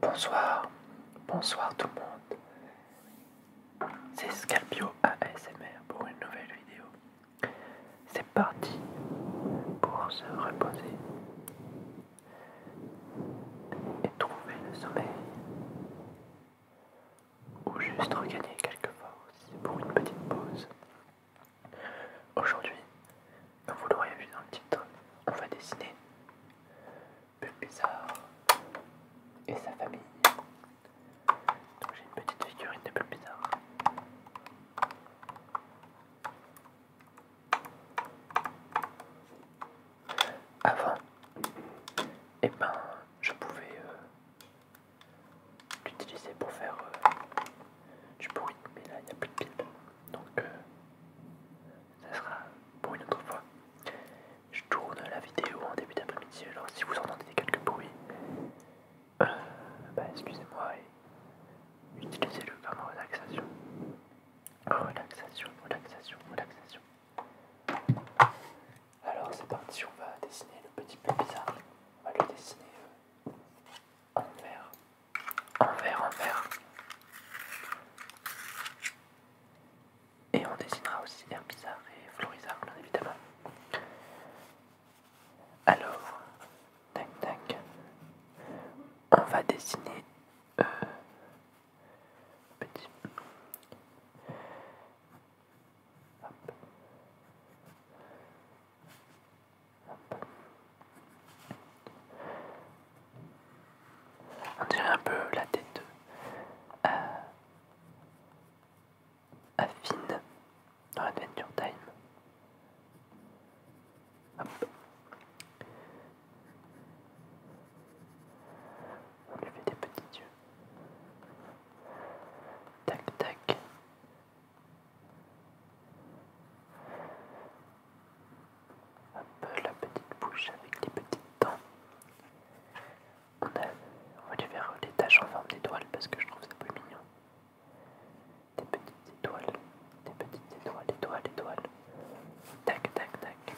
Bonsoir, bonsoir tout le monde. C'est Scalpio ASMR pour une nouvelle vidéo. C'est parti pour se reposer et trouver le sommeil. Ou juste regagner quelques forces pour une petite pause. Aujourd'hui, comme vous l'aurez vu dans le titre, on va dessiner Bulbizarre et sa famille. j'ai une petite figurine de Bulbizarre. Avant, et eh ben, je pouvais euh, l'utiliser pour faire euh, du bruit, mais là il n'y a plus de pile. Donc euh, ça sera pour une autre fois. Je tourne la vidéo en début d'après-midi, alors si vous entendez quelques bruits, euh, bah excusez-moi et utilisez-le comme relaxation. Relaxation, relaxation, relaxation. Alors c'est parti, on va dessiner le petit peu bizarre. On va le dessiner euh, en vert envers vert, et on dessinera aussi bizarre et florissant, évidemment alors tac tac on va dessiner un euh, petit on dirait un peu la tête à, à euh, dans Adventure Time. Hop. On fait des petits yeux. Tac tac. Hop, la petite bouche avec les petites dents. On, va lui faire les taches en forme d'étoiles parce que je trouve ça plus mignon. Des petites étoiles, des petites étoiles, étoiles, étoiles. Tac, tac, tac.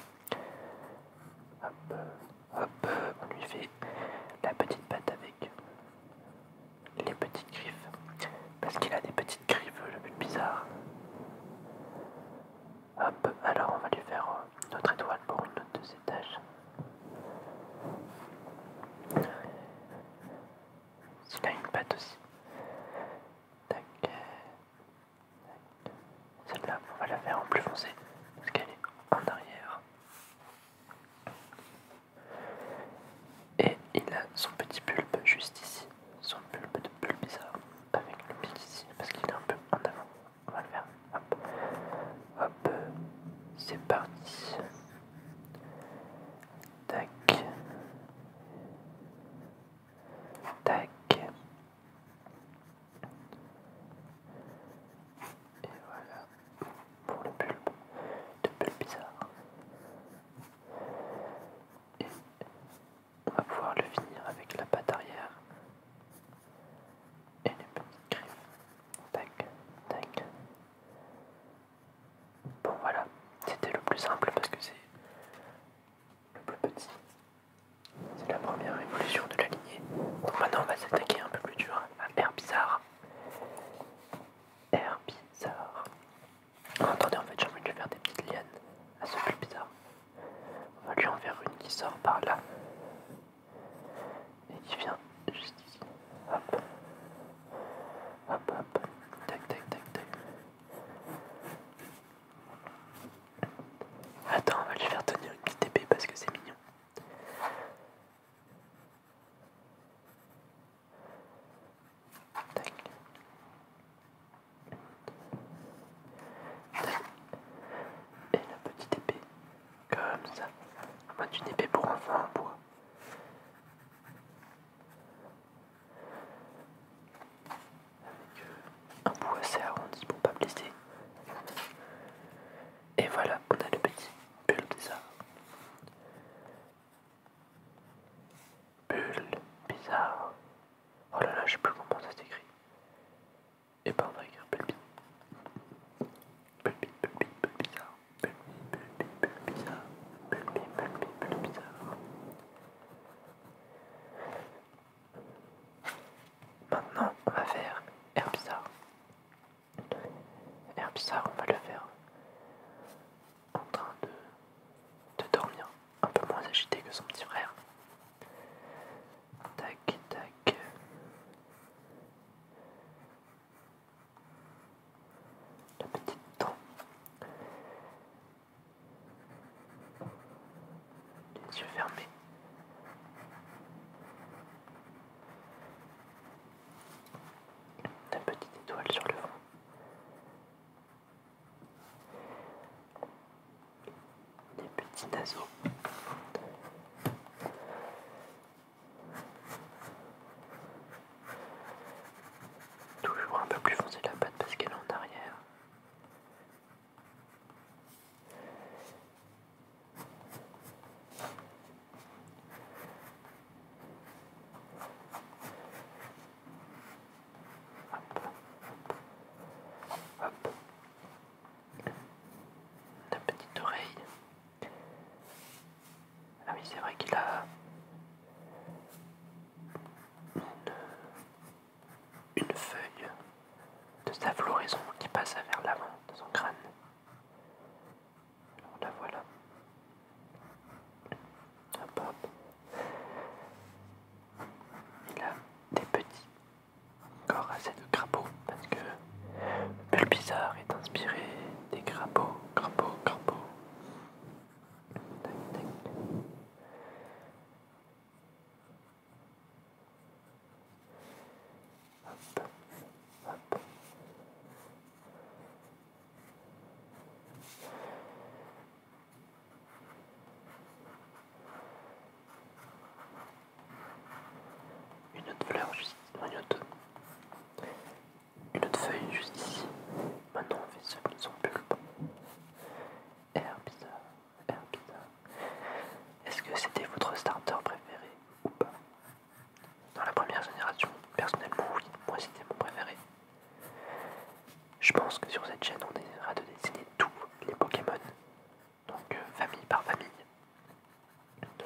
Hop, hop, on lui fait la petite patte avec les petites griffes parce qu'il a des petites Griveux le but bizarre. Hop, alors on va lui faire euh, notre étoile pour une note de ses tâches. S'il a une pâte aussi. Tac. Celle-là, on va la faire en plus foncé parce qu'elle est en arrière. Et il a son petit pulpe juste ici son bulbe de bizarre avec le petit ici parce qu'il est un peu en avant. On va le faire. Hop, hop, c'est parti. Tac, tac. Et voilà pour le bulbe de bulbe bizarre on va pouvoir le finir avec la patte arrière et les petites griffes. Tac, tac. Bon voilà, c'était le plus simple parce que c'est le plus petit. C'est la première évolution de la lignée. Donc maintenant on va s'attaquer un peu plus dur à Air Bizarre. Air Bizarre. Oh, attendez, en fait, j'ai envie de lui faire des petites lianes à ce plus bizarre. On va lui en faire une qui sort par là et qui vient juste ici. Hop, hop, hop, tac, tac, tac, tac. Attends, on va lui faire tenir une petite épée parce que c'est mignon. Et la petite épée, comme ça, en mode une épée pour enfant en bois. Avec euh, un bout assez arrondi pour ne pas blesser. Et voilà, on a le petit pull des Bulle bizarre. Oh là là, je sais plus comment ça s'écrit. Et eh bah ben, on va écrire bulle bizarre. Bulle bizarre. Bulle bizarre. Bulle bizarre. Maintenant, on va faire air bizarre. Air bizarre, on va le faire en train de, dormir, un peu moins agité que son petit frère. Tac, tac. La petite dent. Les yeux fermés. La petite étoile sur le vent. Des petits naseaux. Toujours un peu plus foncé la patte parce qu'elle est en arrière. Hop. La petite oreille. Ah oui, c'est vrai qu'il a une, feuille de sa floraison qui passe vers l'avant de son crâne. Alors la voilà. Il a des petits corps assez de crapauds parce que Bulbizarre est inspiré des crapauds, crapauds, crapauds. Une autre fleur juste ici. Une autre, une autre feuille juste ici. Maintenant on fait ce pour sont pulpe. Air bizarre. Est-ce que c'était votre starter préféré ou pas Dans la première génération, personnellement oui, moi c'était mon préféré. Je pense que sur cette chaîne, on essaiera de dessiner tous les Pokémon, donc euh, famille par famille.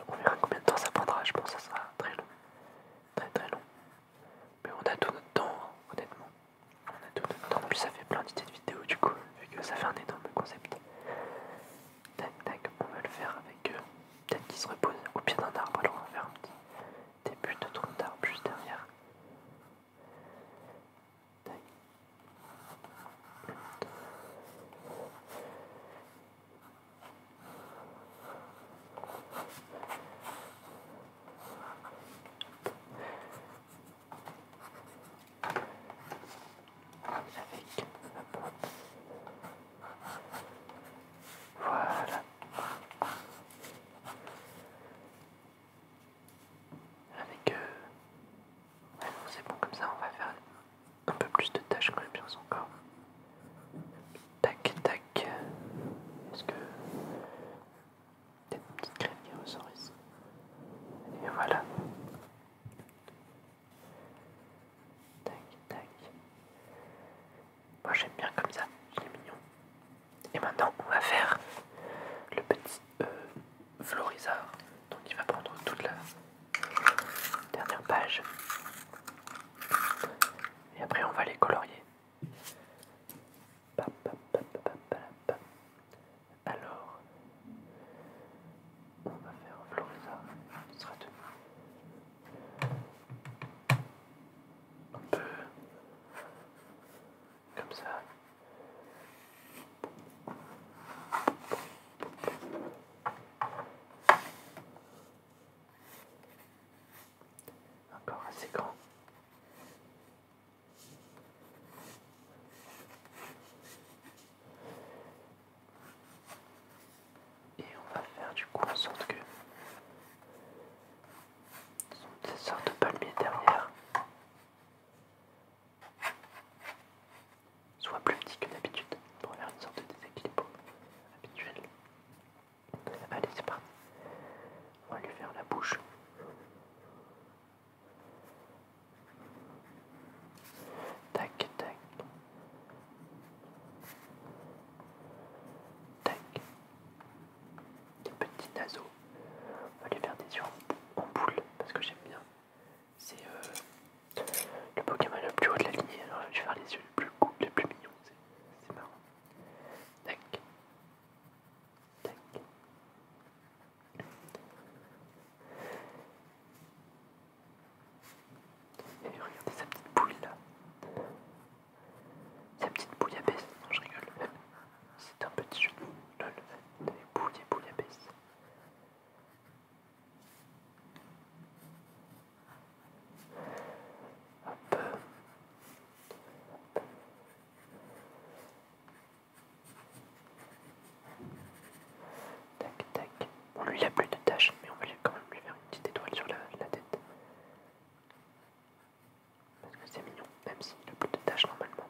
on verra combien de temps ça prendra, je pense que ça sera très long, très très long. Mais on a tout notre temps, honnêtement. On a tout notre temps, en plus ça fait plein d'idées de vidéos du coup, vu que ça fait un énorme concept. Tac tac, on va le faire avec eux. Peut-être qu'ils se reposent au pied d'un arbre, alors on va faire un petit, des bulles de tronc d'arbre juste derrière. Tac. Avec la hop. Voilà. Avec euh, c'est bon comme ça on va faire un peu plus de tâches quand même bien encore Tac tac. Est-ce que peut-être une petite crème qui Et voilà. Tac tac. Moi j'aime bien comme ça, il est mignon. Et maintenant on va faire le petit euh, florizard. Donc il va prendre toute la dernière page. Et après on va les colorier. Alors, on va faire un florizard, sera un peu comme ça. Encore assez grand. Et on va faire du coup en sorte que cette sorte de palmier derrière. Soit plus petit que d'habitude pour faire une sorte de déséquilibre habituel. Allez, c'est parti. On va lui faire la bouche. Tac, tac. Tac, des petits On va lui faire des yeux en boule parce que j'aime bien. C'est euh, le Pokémon le plus haut de la lignée. Alors je vais faire les yeux les plus, les plus mignons. C'est marrant. Et regardez sa petite boule là. Sa petite bouillabaisse, non je rigole, c'est un petit de bouillabaisse, des bouillabaisse. Hop. Tac tac. Bon lui il a plus de tâches mais on va quand même lui faire une petite étoile sur la tête. Parce que c'est mignon, même s'il n'a plus de tâche normalement.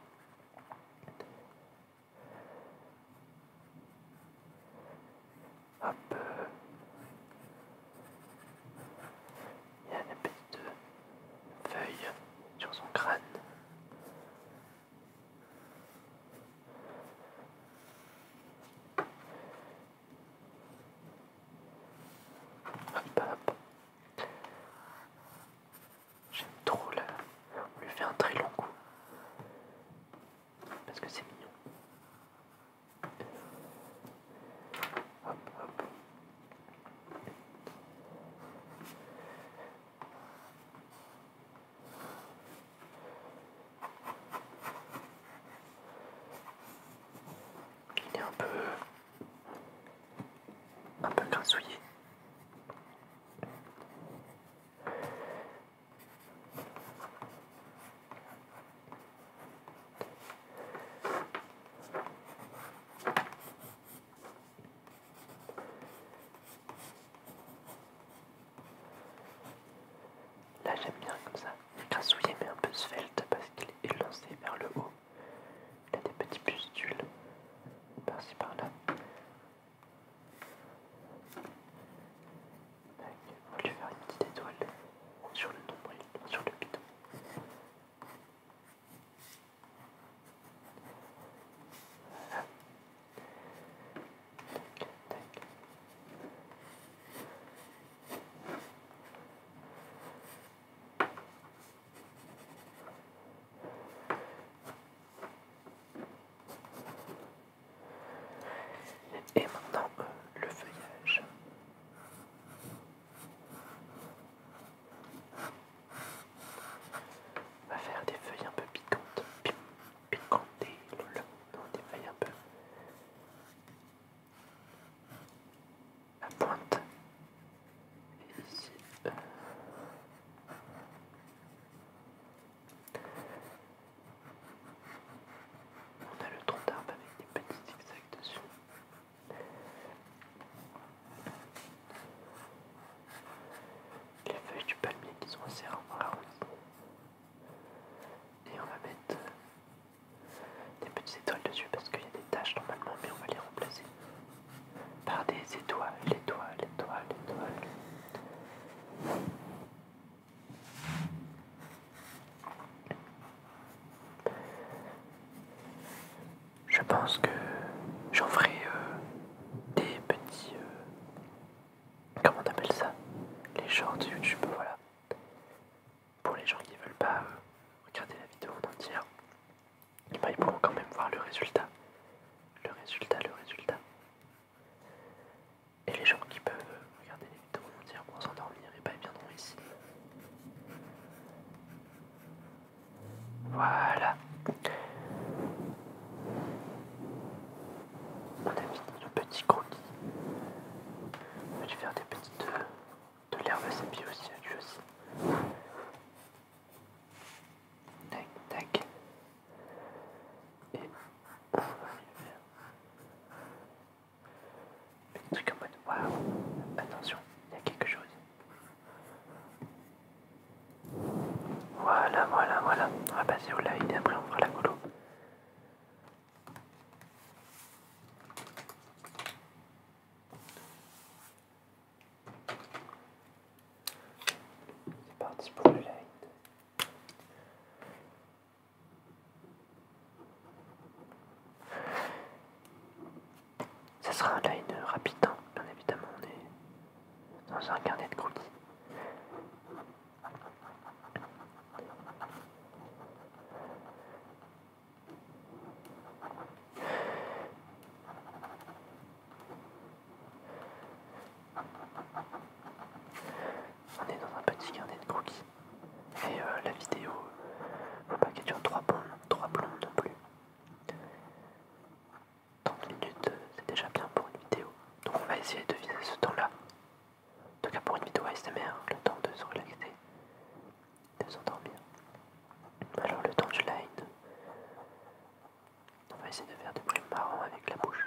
Hop. Il y a une petite feuille sur son crâne. Hop, J'aime trop là. On lui fait un très long coup. Parce que c'est mignon. Hop, hop il est un peu un peu grassouillé. Là j'aime bien comme ça grassouillet mais un peu svelte parce qu'il est lancé vers le haut. Il a des petits pustules par-ci par-là. On va lui faire une petite étoile sur le nombril, sur le bidon. Voilà. Et maintenant euh, le feuillage. On va faire des feuilles un peu piquantes. Piquantes, non, des feuilles un peu la pointe et ici on a le tronc d'arbre avec des petits zigzags dessus les feuilles du palmier qui sont assez rares. et on va mettre des petites étoiles dessus parce qu'il y a des taches normalement, mais on va les remplacer par des étoiles, étoiles, étoiles, étoiles. Je pense que j'en ferai euh, des petits. Euh, comment on appelle ça Les de YouTube, voilà pour les gens qui veulent pas euh, regarder la vidéo entière, bah, ils pourront quand même voir le résultat. Le résultat, le résultat. Et les gens qui peuvent euh, regarder les vidéos en entière pour s'endormir, ils eh ne ben, ils viendront ici. Voilà. On a fini le petit croquis. Je vais faire des petites... Euh, de l'herbe à ses pieds aussi, lui aussi. Tac, tac. Et un va en mode waouh, attention, il y a quelque chose. Voilà, voilà, voilà. On va passer au live et après on fera la colo. C'est parti pour le line Ça sera un line rapide, hein. bien évidemment, on est dans un carnet de croquis. On est dans un petit carnet de croquis, Et euh, la vidéo, faut pas qu'elle dure 3 trois non plus. 30 minutes, euh, c'est déjà bien pour une vidéo. Donc on va essayer de viser ce temps-là. En tout cas pour une vidéo ASMR, le temps de se relaxer, de s'endormir. Alors le temps du line. on va essayer de faire des plus marrant avec la bouche.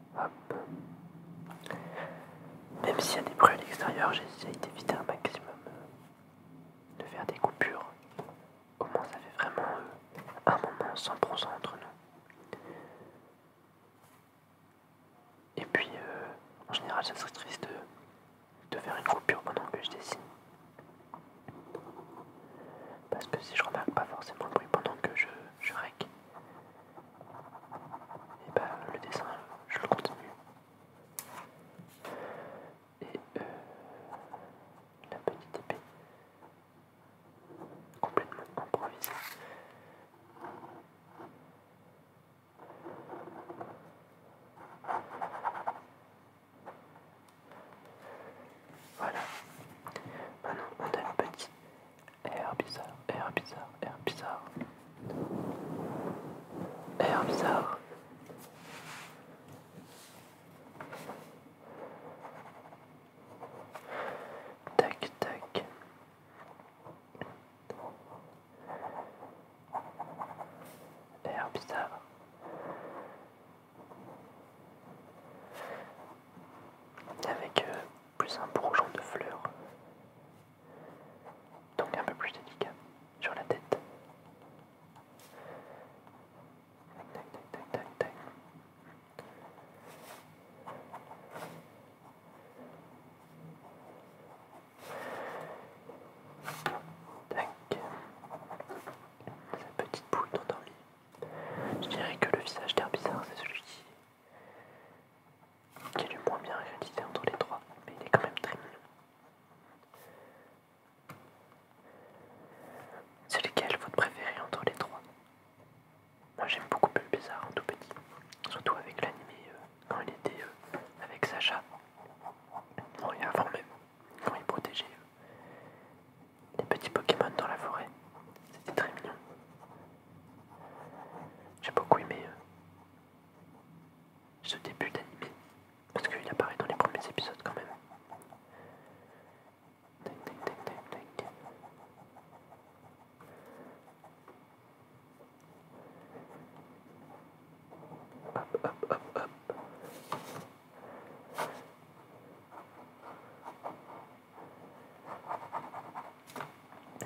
Même s'il y a des bruits à l'extérieur, j'essaye d'éviter un maximum euh, de faire des coupures. Au moins ça fait vraiment euh, un moment 100% entre nous. Et puis euh, en général ça serait triste de, faire une coupure pendant que je dessine. Parce que si je remarque pas forcément le bruit pendant que je, je rec, et ben le dessin je le continue et euh, la petite épée complètement improvisée voilà maintenant on a une petite air bizarre, air bizarre, air bizarre, air bizarre. Tac, tac. Air bizarre. Avec euh, plus un bourgeon de fleurs, donc un peu plus délicat sur la tête. Tac. Sa petite boule dans le lit. Je dirais que le visage d'air bizarre, c'est celui qui qui est le moins bien réalisé entre les trois, mais il est quand même très mignon. C'est lequel votre préféré entre les trois Moi j'aime beaucoup plus Bizarre en tout petit, surtout avec l'animé euh, quand il était euh, avec Sacha. Non, avant même, quand il protégeait euh, les petits Pokémon dans la forêt. C'était très mignon. J'ai beaucoup aimé euh, ce début d'animé, parce qu'il apparaît dans les premiers épisodes quand même.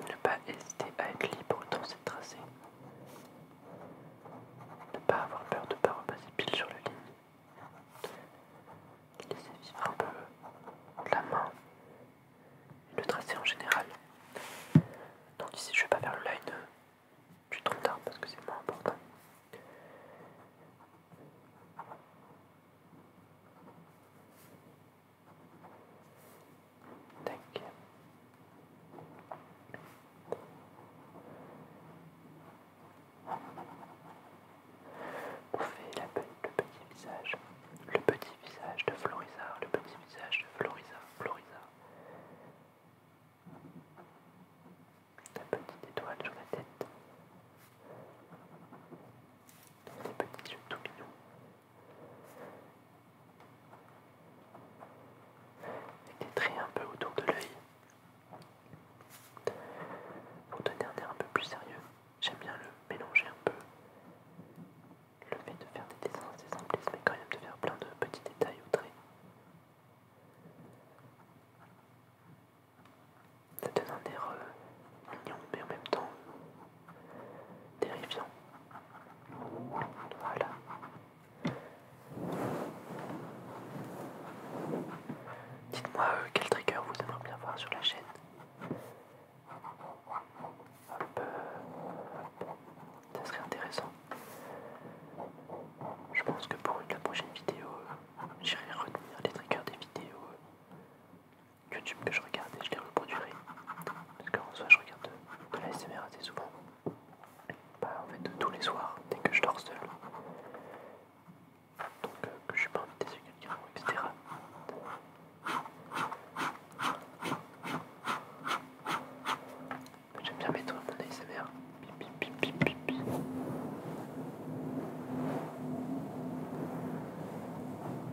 Ne pas hésiter à être libre dans ces tracés. Ne pas avoir peur de ne pas repasser pile sur le ligne. Laisser vivre un peu la main et le tracé en général. Donc ici je ne vais pas faire le line du tronc d'arbre parce que c'est moins important. Tac. la, le petit visage, le petit visage de Florisa, le petit visage de Florisa, Florisa. La petite étoile sur la tête. Les petits yeux tout avec des traits un peu autour de l'œil. Pour donner un air un peu plus sérieux, j'aime bien le mélanger un peu. Le fait de faire des dessins assez simplistes, mais quand même de faire plein de petits détails ou traits. Ça donne un air euh, mignon, mais en même temps terrifiant. Voilà. Dites-moi euh, quel trigger vous aimeriez bien voir sur la chaîne. Hop, euh, ça serait intéressant. Je pense que pour une, la prochaine vidéo, euh, j'irai retenir les triggers des vidéos YouTube que je regarde et je les reproduirai. Parce en soit je regarde de, l'ASMR assez souvent. Bah, en fait, tous les soirs, dès que je dors seul. Donc, euh, que je suis pas invité sur quelqu'un, etc. Bah, j'aime bien mettre mon ASMR. Bip, bip, bip, bip, bip.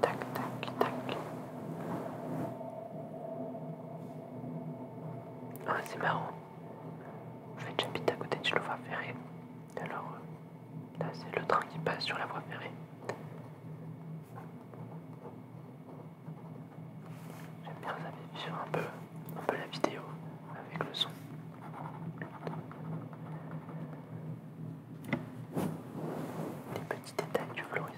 Tac, tac, tac. Ah, c'est marrant. Je vais j'habite à côté de la voie ferrée. Alors, euh, là, c'est le train qui passe sur la voie ferrée. J'aime bien ça vivre un peu, un peu la vidéo avec le son des petits détails du florissant.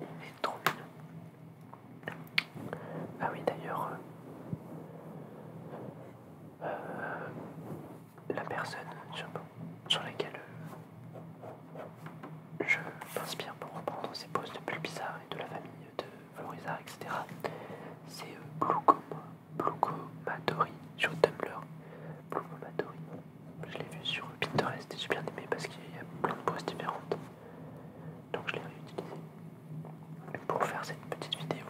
Il est trop mignon. Ah oui d'ailleurs, euh, euh, la personne sur, laquelle euh, je m'inspire pour reprendre ces poses de Bulbizarre et de la famille de Florizard, etc. C'est Blucomatori euh, sur Tumblr. Blucomatori, je l'ai vu sur Pinterest et j'ai bien aimé parce qu'il y a plein de poses différentes. Donc je l'ai réutilisé pour faire cette petite vidéo.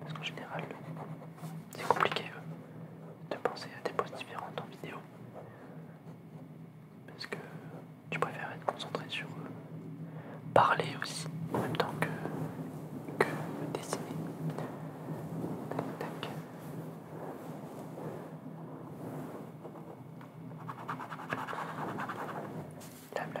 Parce qu'en général, c'est compliqué euh, de penser à des poses différentes en vidéo. Parce que tu préfères être concentré sur euh, parler aussi, en même temps que, dessiner. Tac, tac. La,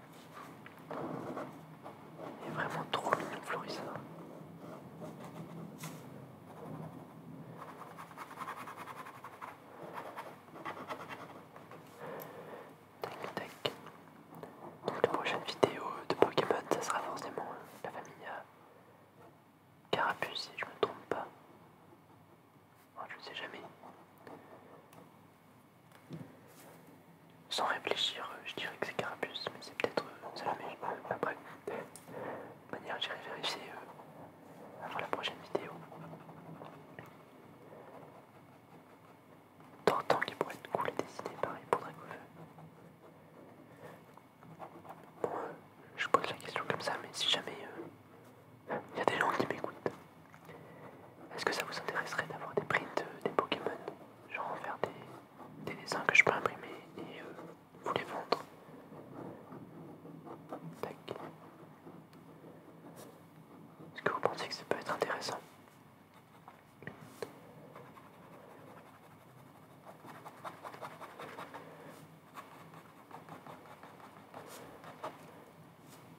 Il est vraiment trop mignon, Florissa. Tac tac. Donc la prochaine vidéo de Pokémon, ça sera forcément la famille euh, Carapuce si je me trompe pas. Oh, je ne sais jamais. Sans réfléchir, euh, je dirais que c'est Carapuce, mais c'est peut-être euh, après, de manière j'irai vérifier euh, avant la prochaine vidéo. Tantant qu'il pourrait être cool et décidé pareil pour Dracoufeu. Bon, je pose la question comme ça, mais si jamais il y a des gens qui m'écoutent, est-ce que ça vous intéresserait d'avoir des prints des Pokémon en faire des, dessins que je peux imprimer et euh, vous les vendre. Tac. Est-ce que vous pensez que ça peut être intéressant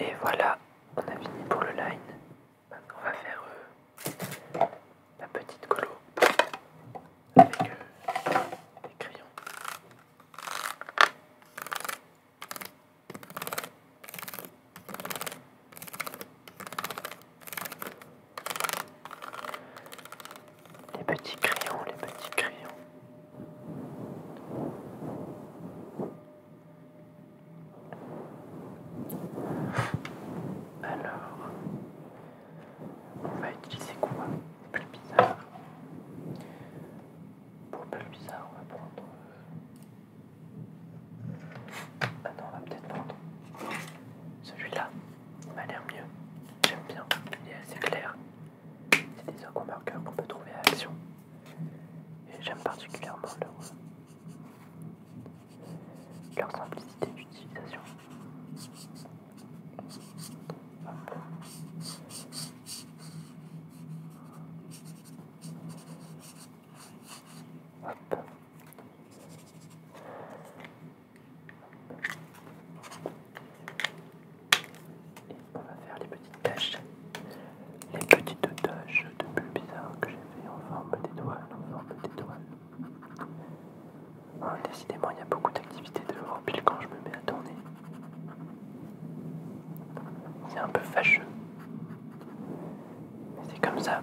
Et voilà, on a fini pour le line. Maintenant, on va faire euh, la petite colo avec euh, des crayons. Les petits crayons, les petits crayons. Alors, on va utiliser quoi Plus bizarre. Pour plus bizarre, on va prendre. Euh, ah non, on va peut-être prendre celui-là m'a l'air mieux. J'aime bien, il est assez clair. C'est des encres qu'on peut trouver à l'action. Et j'aime particulièrement leur, euh, simplicité d'utilisation on va faire les petites tâches, les petites tâches de bulles bizarres que j'ai fait en forme d'étoile, en forme hein, décidément, il y a beaucoup d'activités de pile quand je me mets à tourner. C'est un peu fâcheux. Mais c'est comme ça.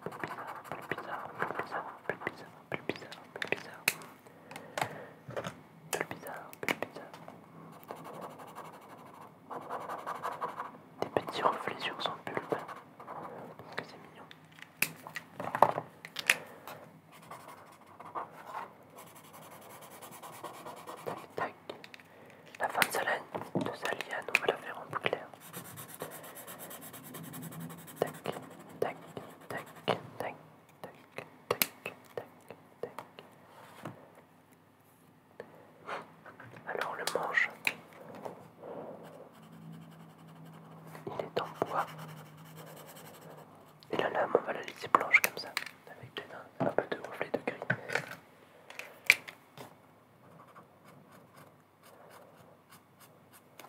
plus bizarre, plus bizarre, plus bizarre, plus bizarre, plus bizarre, plus bizarre, plus bizarre. Des petits reflets sur son pulpe. Que c'est mignon. Tac, tac. La fin de sa, de sa liane, on va la faire en boucle. Tac, tac, tac, tac, tac, tac, tac, tac. Alors le mange. il est en bois. Et la lame, on va la laisser blanche comme ça, avec un peu de reflet de gris.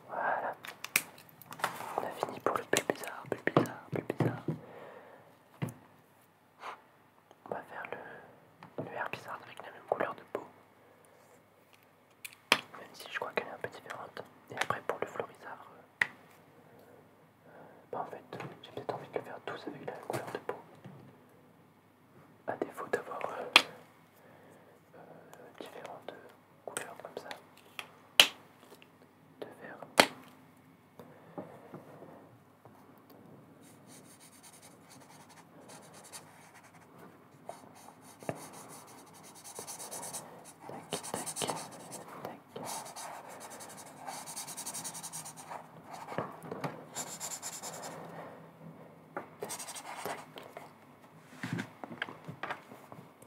Voilà. On a fini pour le plus bizarre, plus bizarre, plus bizarre. On va faire le, le bizarre avec la même couleur de peau. Même si je crois qu'elle est un peu différente. Et après pour le florizard. Euh, euh, bah, en fait, euh, j'ai peut-être envie de le faire tous avec la même couleur de peau à défaut d'avoir euh, euh, différentes couleurs comme ça de verre.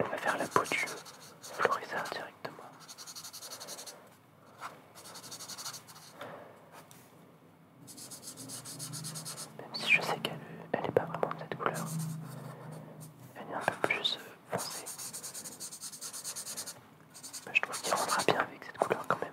On va faire la peau du Florizard directement. Même si je sais qu'elle n'est pas vraiment de cette couleur, elle est un peu plus euh, foncée. Bah, je trouve qu'il rentrera bien avec cette couleur quand même.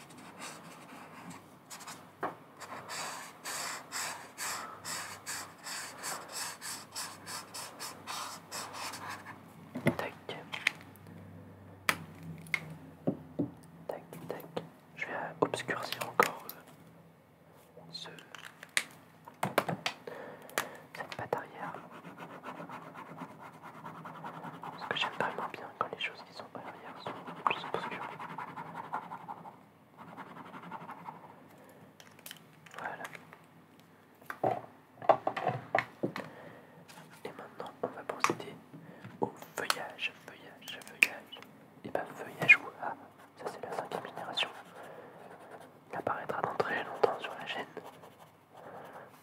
Tac. Tac, tac. Je vais obscurcir encore ce, euh, cette patte arrière. Parce que j'aime vraiment bien quand les choses qui sont derrière sont plus obscures. Voilà. Et maintenant, on va procéder au feuillage, feuillage, feuillage. Et ben, feuillage ou a. Ah, ça c'est la cinquième génération. Il apparaîtra dans très longtemps sur la chaîne.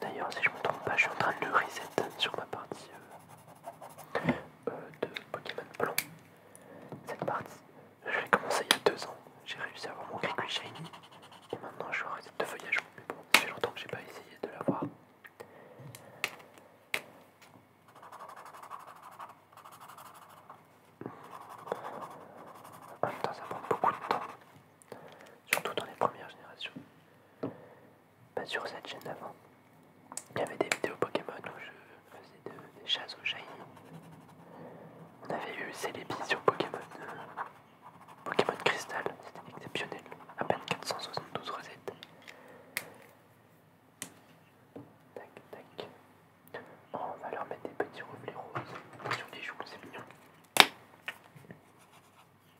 D'ailleurs, si je me trompe pas, je suis en train de le reset sur ma partie euh, euh, de Pokémon Blanc. Cette partie, je l'ai commencé il y a deux ans. J'ai réussi à avoir mon Grigui Shiny. Et maintenant, je suis un reset de feuillage. Mais bon, ça fait longtemps que j'ai pas essayé de l'avoir. En même temps, ça prend beaucoup de temps, surtout dans les premières générations pas sur cette chaîne avant. il y avait des vidéos Pokémon où je faisais des chasses aux shiny. On avait eu Célébis sur Pokémon, euh, Pokémon Crystal, c'était exceptionnel, à peine 472 recettes. Tac, tac. Oh, on va leur mettre des petits reflets roses sur les joues, c'est mignon.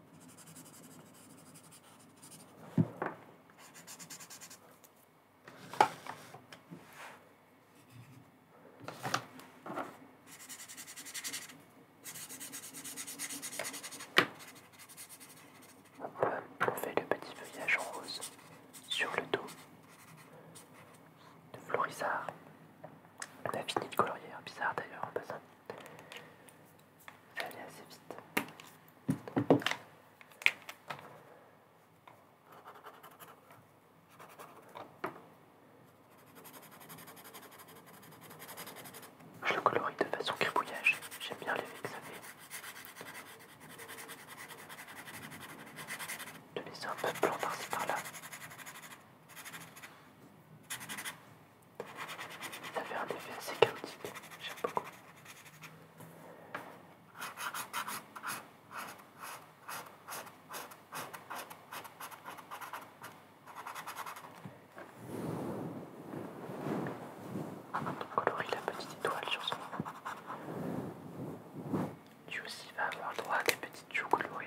on fait le petit feuillage rose sur le dos de Florisard la a fini de colorière, hein. bizarre d'ailleurs en passant. Ça allait assez vite. Je le colorie de façon cribouillage, j'aime bien l'effet que ça fait. De laisser un peu blanc par-ci par-là. Ça fait un effet assez chaotique, j'aime beaucoup. On colorie la petite étoile sur son Tu aussi vas avoir le droit à des petites joues colorées.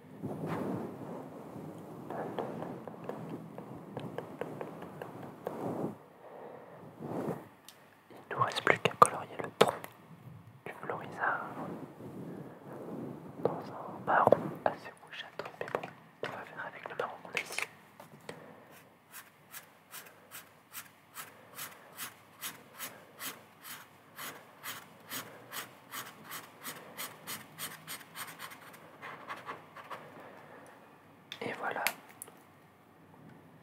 Il nous reste plus qu'à colorier le tronc du florizard dans un marron assez rougeâtre, mais bon, on va faire avec le marron qu'on a ici. Et voilà,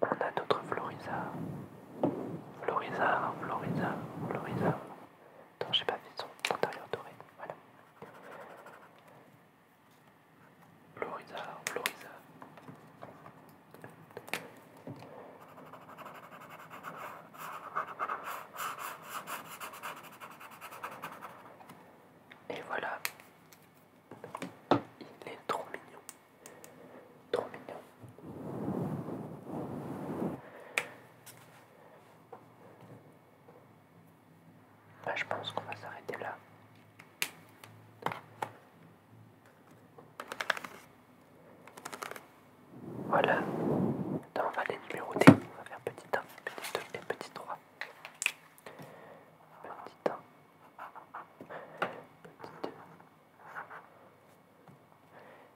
on a d'autres Florisa. Florisa, Florisa, Florisa. je j'ai pas fait son antérieur doré. Voilà. Florisa, Florisa. Et voilà, il est trop mignon, trop mignon. je pense qu'on va s'arrêter là. Voilà. Maintenant, on va les numéroter. On va faire petit 1, petit 2 et petit 3. Petit 1. Petit 2.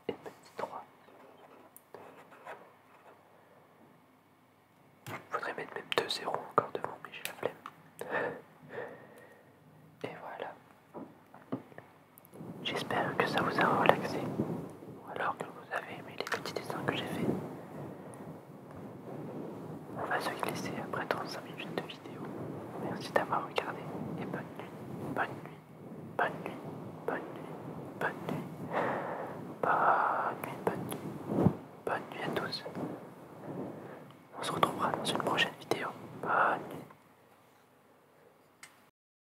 Et petit 3. Il Faudrait mettre même 2 zéros encore devant, mais j'ai la flemme. Et voilà. J'espère que ça vous a relaxé, ou alors que vous avez aimé les petits dessins que j'ai faits. On va se glisser après 35 minutes de vidéo. Merci d'avoir regardé et bonne nuit, bonne nuit, bonne nuit, bonne nuit, bonne nuit, bonne nuit, bonne nuit, bonne nuit à tous. On se retrouvera dans une prochaine vidéo. Bonne nuit.